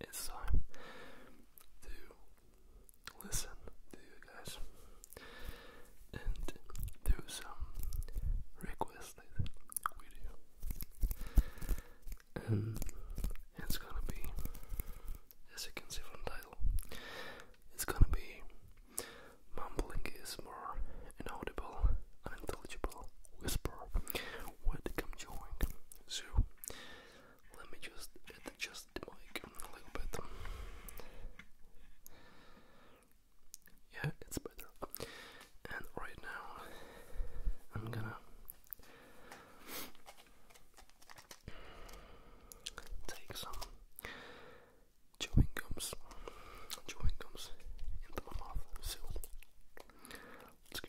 it's time to listen to you guys and do some requested video. And it's gonna be as you can see from the title. It's gonna be mumbling is more inaudible, unintelligible whisper where come join. So let me just adjust the mic a little bit. Yeah, it's better. And right now, I'm gonna Take some chewing gums, chewing gums into my mouth. let's go.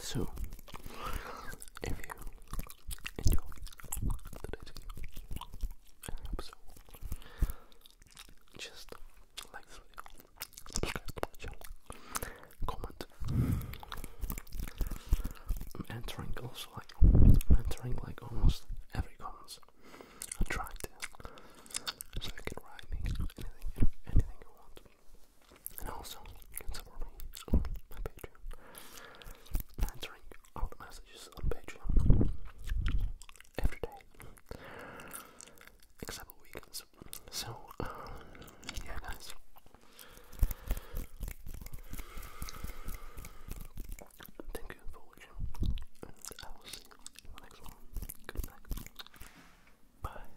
So, if you enjoy today's video, and episode, just like subscribe comment, i I'm entering like almost every comment, I try to, so you can write anything, anything you want. And also, you can support me on my Patreon. Answering all the messages on Patreon every day, except weekends. So, um, yeah, guys. Thank you for watching, I will see you in the next one. Good night. Bye.